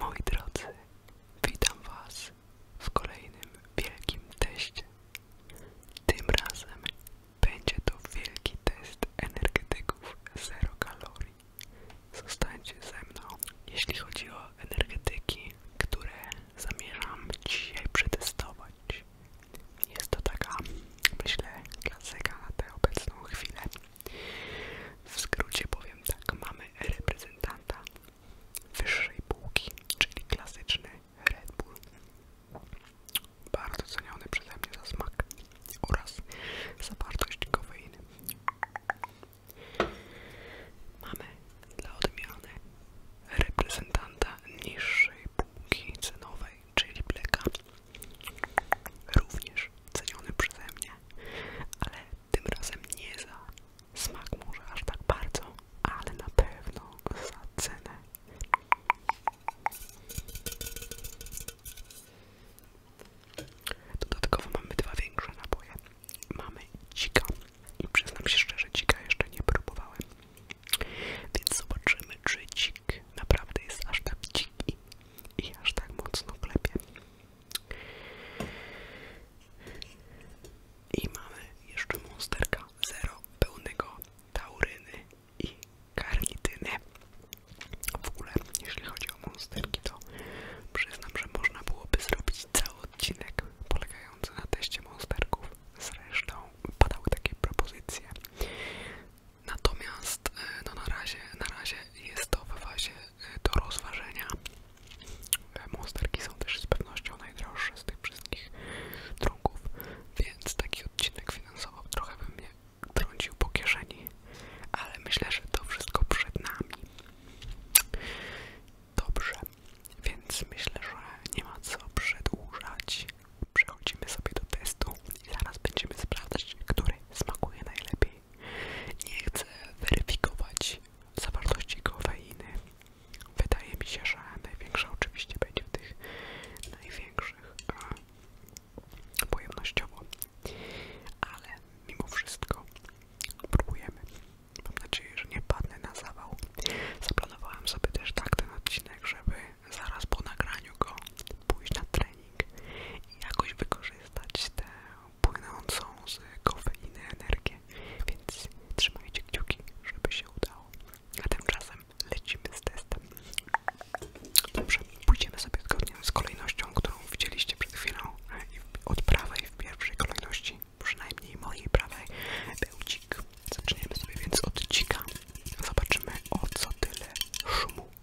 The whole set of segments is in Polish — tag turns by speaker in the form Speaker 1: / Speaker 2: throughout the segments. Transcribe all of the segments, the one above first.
Speaker 1: Moi drodzy, witam Was w kolejnym wielkim teście. Tym razem będzie to wielki test energetyków zero kalorii. Zostańcie ze mną. Jeśli chodzi o energetyki, które zamierzam dzisiaj przetestować, jest to taka, myślę, klasyka na tę obecną chwilę. W skrócie powiem tak, mamy reprezentanta wyższej półki, czyli klasyczny Red Bull, bardzo ceniony przeze mnie za smak oraz zawartość kofeiny. Mamy dla odmiany reprezentanta niższej półki cenowej, czyli Blacka, również ceniony przeze mnie ale tym razem nie za smak może aż tak bardzo, ale na pewno za cenę. Dodatkowo mamy dwa większe napoje. Mamy dzika i przyznam się szczerze, dzika jeszcze nie próbowałem. Więc zobaczymy, czy dzik naprawdę jest aż tak dziki i aż tak mocno klepie. I mamy jeszcze monsterka zero pełnego tauryny i karnityny. W ogóle, jeśli chodzi o monsterki, to przyznam, że można byłoby zrobić cały odcinek polegający na teście monsterków. Zresztą padały takie propozycje. Natomiast e, no na, razie, na razie jest to w fazie e, do rozważenia. E, Monsterki są też z pewnością najdroższe z tych wszystkich trunków, więc taki odcinek finansowo trochę by mnie trącił po kieszeni, ale myślę, że to wszystko przed nami. Dobrze, więc myślę, że nie ma co przedłużać. Przechodzimy sobie do testu i zaraz będziemy sprawdzać, który smakuje najlepiej. Nie chcę weryfikować zawartości kofeiny. Wydaje mi się, że największa oczywiście będzie w tych największych a, pojemnościowo. Ale mimo wszystko próbujemy. Mam nadzieję, że nie padnę na zawał. Zaplanowałem sobie też tak ten odcinek, żeby zaraz po nagraniu go pójść na trening trening i jakoś wykorzystać tę płynącą z kofeiny energię, więc trzymajcie kciuki, żeby się udało. A tymczasem lecimy z testem. Dobrze, pójdziemy sobie zgodnie z kolejnością, którą widzieliście przed chwilą od prawej w pierwszej kolejności, przynajmniej mojej prawej, był dzik. Zaczniemy sobie więc od dzika. Zobaczymy o co tyle szumu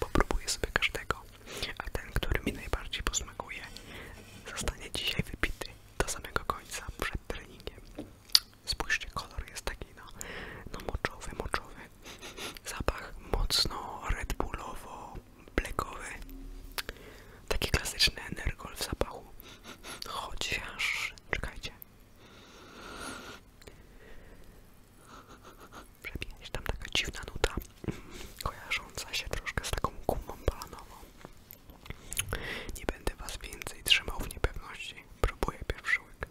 Speaker 1: Popróbuję sobie każdego, a ten, który mi najbardziej posmakuje, zostanie dzisiaj wypity do samego końca przed treningiem. Spójrzcie, kolor jest taki no, no moczowy, moczowy. Zapach mocno Red Bullowo, blekowy. Taki klasyczny energol w zapachu. Chociaż, czekajcie, Przebija się tam taka dziwna nuta, kojarząca się troszkę z taką gumą balanową. Nie będę was więcej trzymał w niepewności. Próbuję pierwszy łyk.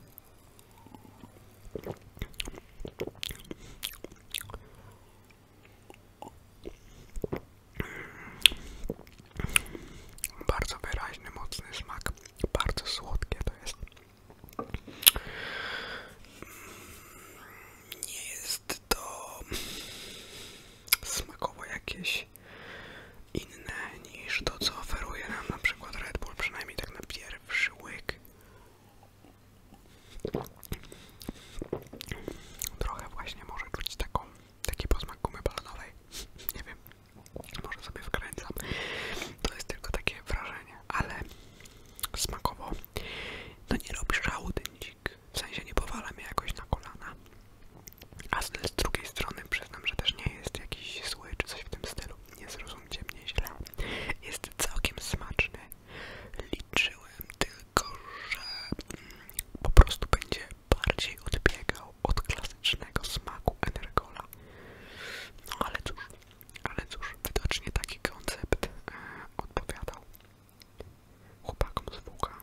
Speaker 1: Bardzo wyraźny, mocny smak, bardzo słodkie to jest. Nie jest to smakowo jakieś inne niż to, co oferuje nam na przykład Red Bull, przynajmniej tak na pierwszy łyk. Trochę właśnie może czuć taką, taki posmak gumy balonowej. Nie wiem może sobie wkręcam, to jest tylko takie wrażenie, ale smakowo, no nie robi szału ten w sensie nie powala mnie jakoś na kolana, a z, z drugiej strony przyznam, że też nie jest jakiś zły czy coś w tym stylu, nie zrozumcie mnie źle, jest całkiem smaczny, liczyłem tylko, że mm, po prostu będzie bardziej odbiegał od klasycznego smaku Energola. No ale cóż, ale cóż, widocznie taki koncept e, odpowiadał chłopakom z WK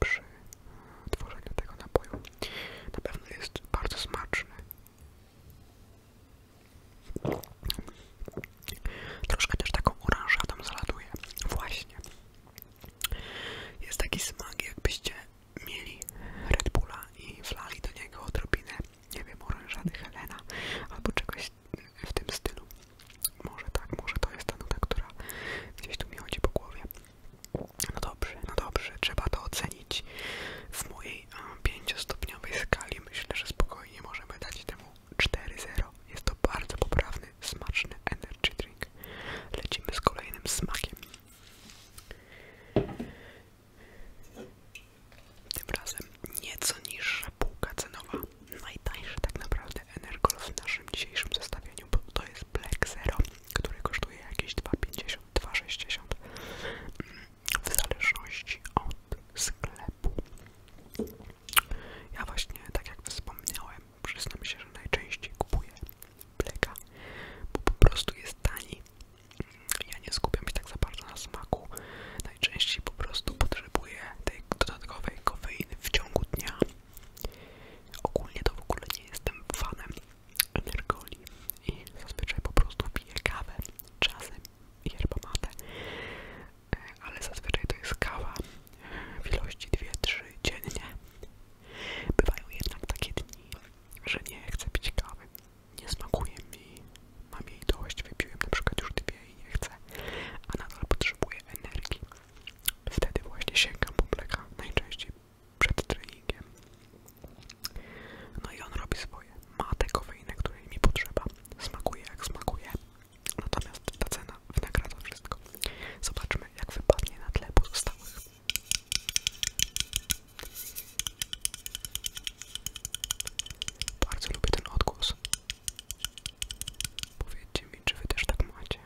Speaker 1: przy e, tworzeniu tego napoju. Na pewno jest bardzo smaczny. Troszkę też taką oranżadą zaladuje. Właśnie. Jest taki smak, jakbyście mieli Red Bulla i wlali do niego odrobinę, nie wiem, orężady Helena albo czegoś w tym stylu. Może tak, może to jest ta nuda, która gdzieś tu mi chodzi po głowie. No dobrze, no dobrze, trzeba to ocenić w mojej pięciostopniowej skali. Myślę, że spokojnie możemy dać temu 4-0. Jest to bardzo poprawny, smaczny energy drink. Lecimy z kolejnym smakiem. Tym razem nieco niższa półka cenowa. Najtańszy tak naprawdę Energol w naszym dzisiejszym zestawieniu, bo to jest Black Zero, który kosztuje jakieś 2,50, 2,60 w zależności od sklepu. Ja właśnie, tak jak wspomniałem, Przyznam się, że najczęściej kupuję bleka, bo po prostu jest tani. Ja nie skupiam się tak za bardzo na smaku. Najczęściej po prostu potrzebuję tej dodatkowej kofeiny w ciągu dnia. Ogólnie to w ogóle nie jestem fanem energoli i zazwyczaj po prostu piję kawę, czasem yerba e, ale zazwyczaj to jest kawa w ilości 2-3 dziennie Bywają jednak takie dni, że nie chcę pić kawy, nie smakuje mi, mam jej dość, wypiłem na przykład już dwie i nie chcę, a nadal potrzebuję energii. Wtedy właśnie sięgam po mleka, najczęściej przed treningiem. No i on robi swoje. matekowe tę kofeinę, której mi potrzeba. Smakuje jak smakuje. Natomiast ta cena wynagradza wszystko. Zobaczmy, jak wypadnie na tle pozostałych. Bardzo lubię ten odgłos. Powiedzcie mi, czy wy też tak macie.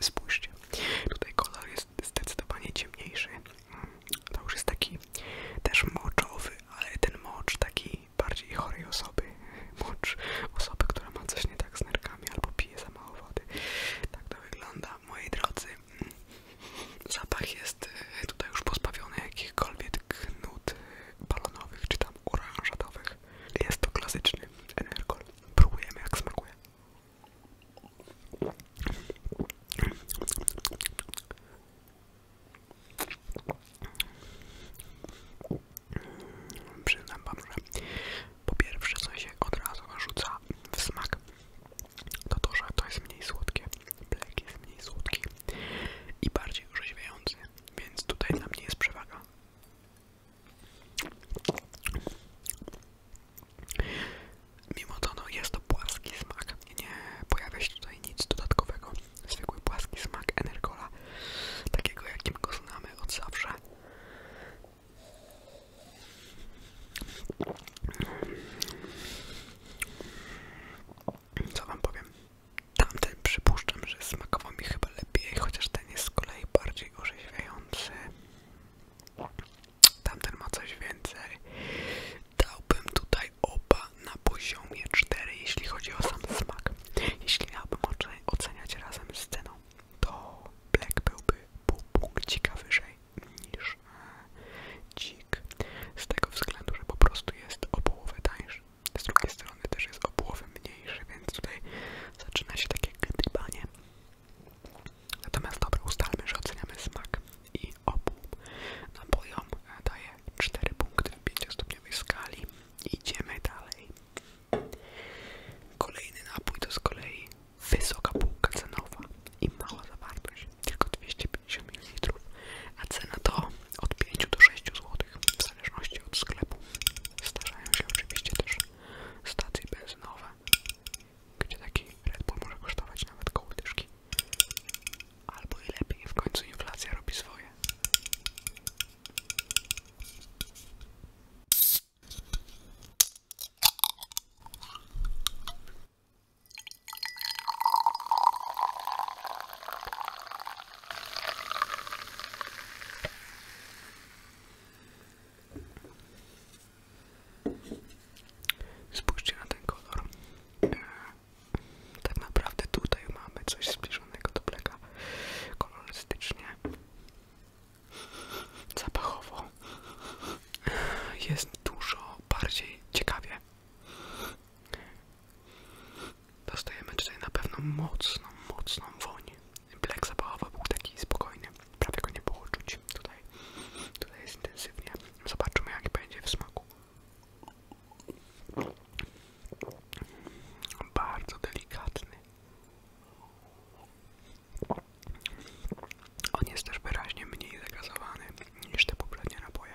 Speaker 1: Spójrzcie, tutaj kolor jest zdecydowanie ciemniejszy. To już jest taki też moczowy, ale ten mocz taki bardziej chorej osoby. Mocz osoby, która ma coś nie tak z nerkami albo pije za mało wody. Tak to wygląda, moi drodzy. Zapach jest e, tutaj już pozbawiony jakichkolwiek nut balonowych czy tam oranżadowych. Jest to klasyczny energol. Próbujemy jak smakuje. Przyznam wam, że po pierwsze co się od razu rzuca w smak to to, że to jest mniej słodkie Black jest mniej słodki i bardziej orzeźwiający, więc tutaj dla mnie jest przewaga. Mimo to no, jest to płaski smak, nie pojawia się tutaj nic dodatkowego. Zwykły płaski smak Energola, takiego jakim go znamy od zawsze co wam powiem, tamten przypuszczam, że smakował mi chyba lepiej, chociaż ten jest z kolei bardziej orzeźwiający. Tamten ma coś więcej. Dałbym tutaj oba na poziomie 4, jeśli chodzi o sam smak. Jeśli miałbym oceniać razem z ceną, to Black byłby pół punkcika wyżej niż dzik. Z tego względu, że po prostu jest o połowę tańszy. Z drugiej strony też jest o połowę mniejszy, więc tutaj zaczyna się takie gdybanie. Natomiast dobre ustalmy, że oceniamy smak i obu napojom e, daje 4 punkty w 5-stopniowej skali. Idziemy dalej. Kolejny napój to z kolei wysoka półka cenowa i mała zawartość tylko 250 ml, a cena to od 5 do 6 zł, w zależności od sklepu. Starzają się oczywiście też stacje benzynowe, gdzie taki Red Bull może kosztować nawet koło dyszki. Albo i lepiej, w końcu inflacja robi swoje. Spójrzcie na ten kolor. E, tak naprawdę tutaj mamy coś zbliżonego do bleka kolorystycznie, zapachowo jest dużo bardziej ciekawie. Dostajemy tutaj na pewno mocną, mocną woń. Black zabawowy był taki spokojny, prawie go nie było Tutaj, tutaj jest intensywnie. Zobaczymy jak będzie w smaku. Bardzo delikatny. On jest też wyraźnie mniej zagazowany niż te poprzednie napoje.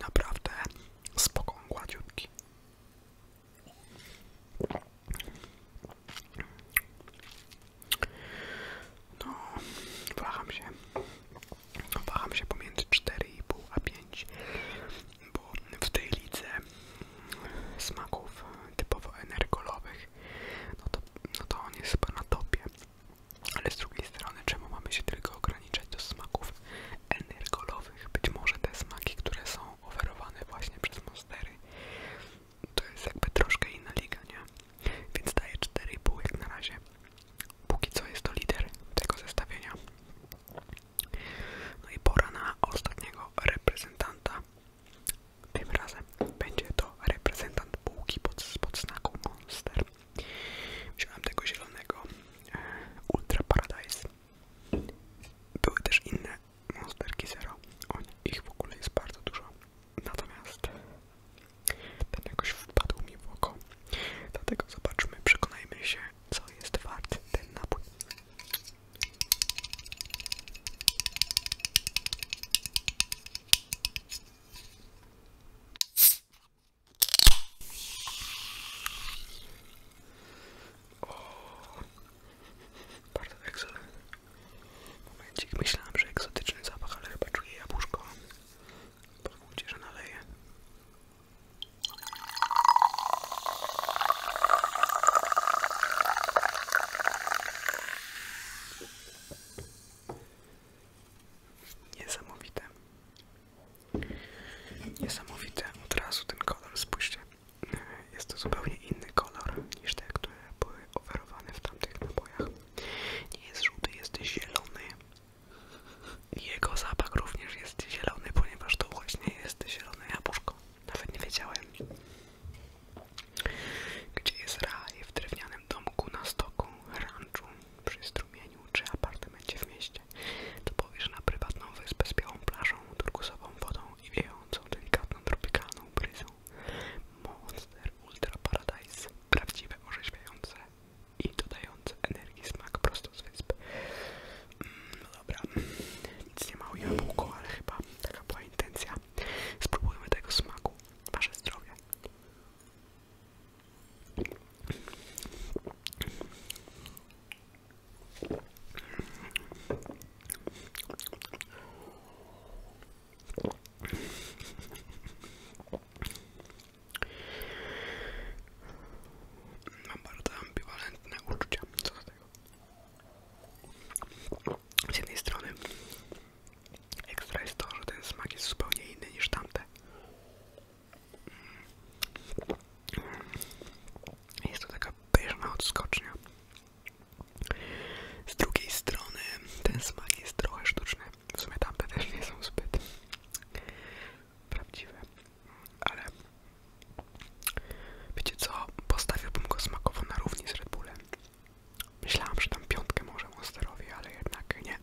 Speaker 1: Naprawdę spoko, gładziutki. No, waham się. Waham się pomiędzy 4,5 a 5 bo w tej lidze smaków typowo energolowych, no to, no to on jest chyba na topie. Ale z drugiej strony, czemu mamy się tylko ograniczać do smaków energolowych? Być może te smaki, które są oferowane właśnie przez Monstery, to jest jakby troszkę inna liga, nie? Więc daję 4,5 jak na razie. Póki co jest to lider tego zestawienia. No i pora na ostatniego reprezentanta. Tym razem będzie to reprezentant bułki pod, pod Monster. Wziąłem tego zielonego e, Ultra Paradise. Były też inne monsterki zero. O, ich w ogóle jest bardzo dużo. Natomiast ten jakoś wpadł mi w oko. Dlatego zobaczmy, przekonajmy się, co jest wart ten napój. O, bardzo egzotyczny. Momencik, myślałem, że egzotyczny zapach, ale chyba czuję jabłuszko. Pozwólcie, że naleję. Niesamowite. Niesamowite. Od razu ten kolor spójrzcie. Jest to zupełnie inny kolor niż te, które były oferowane w tamtych napojach. Nie jest żółty, jest zielony. Jego zapach również jest zielony, ponieważ to właśnie jest zielone jabłuszko. Nawet nie wiedziałem. Gdzie jest raj? W drewnianym domku, na stoku, ranczu, przy strumieniu czy apartamencie w mieście. To powiesz na prywatną wyspę z białą plażą, turkusową wodą i wiejącą delikatną tropikalną bryzą. Monster Ultra Paradise. Prawdziwe orzeźwiające i dodając energii smak prosto z wysp. Mm, no dobra, nic nie ma o jabłko, ale chyba taka była intencja. Spróbujmy tego smaku. Wasze zdrowie. Mam bardzo ambiwalentne uczucia co do tego. Z jednej strony ekstra jest to, że ten smak jest zupełnie inny niż tamte. Mm. Jest to taka pyszna odskocznia. Z drugiej strony ten smak jest trochę sztuczny. W sumie tamte też nie są zbyt prawdziwe, ale wiecie co, postawiłbym go smakowo na równi z Red Bullem. Myślałam, że tam piątkę może Monsterowi, ale jednak nie.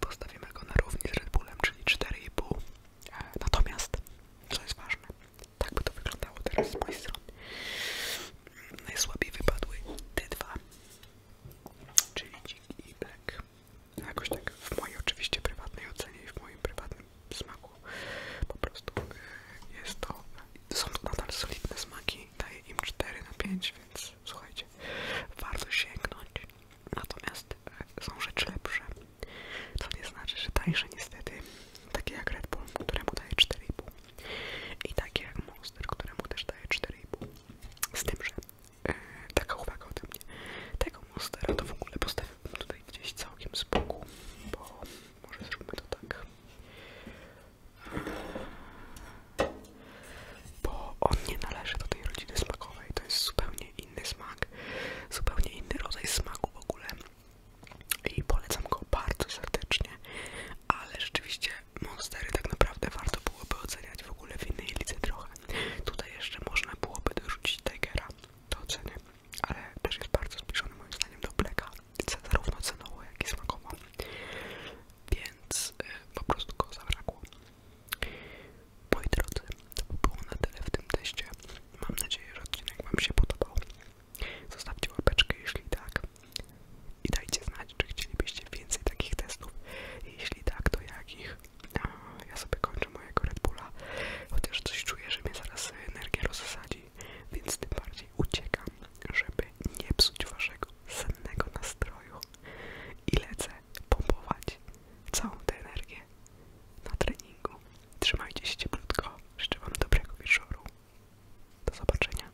Speaker 1: Postawimy go na równi z Red Bullem, czyli 4,5. E, natomiast, co jest ważne, tak by to wyglądało teraz z mojej strony. Najsłabiej wypadły te dwa czyli Dzik i Black. Y. Jakoś tak w mojej oczywiście prywatnej ocenie i w moim prywatnym smaku po prostu y, jest to, są to nadal solidne smaki, daje im 4 na 5, więc słuchajcie, warto sięgnąć. Natomiast y, są rzeczy lepsze, co nie znaczy, że tańsze niestety, takie jak Red Bull, któremu daje 4,5 i takie jak Monster, któremu też daje 4,5. Z tym, że e, taka uwaga ode mnie. Tego monstera to w ogóle postawiłbym tutaj gdzieś całkiem z boku, bo może zróbmy to tak. Bo on nie należy do tej rodziny smakowej, to jest zupełnie inny smak, zupełnie inny rodzaj smaku w ogóle. I polecam go bardzo serdecznie, ale rzeczywiście monstery tak naprawdę warto byłoby oceniać w ogóle w innej lice trochę. Tutaj jeszcze można byłoby dorzucić Tigera do oceny, ale też jest bardzo zbliżony moim zdaniem do Blacka, zarówno cenowo jak i smakowo, więc y, po prostu go zabrakło. Moi drodzy, to by było na tyle w tym teście. Mam nadzieję, że odcinek Wam się podobał. Zostawcie łapeczkę, jeśli tak i dajcie znać, czy chcielibyście więcej takich testów. Jeśli tak, to jakich? Ja sobie kończę mojego Red Bulla, chociaż coś czuję, że mnie zaraz energia rozsadzi, więc tym bardziej uciekam, żeby nie psuć waszego sennego nastroju i lecę pompować całą tę energię na treningu. Trzymajcie się cieplutko, życzę wam dobrego wieczoru. Do zobaczenia.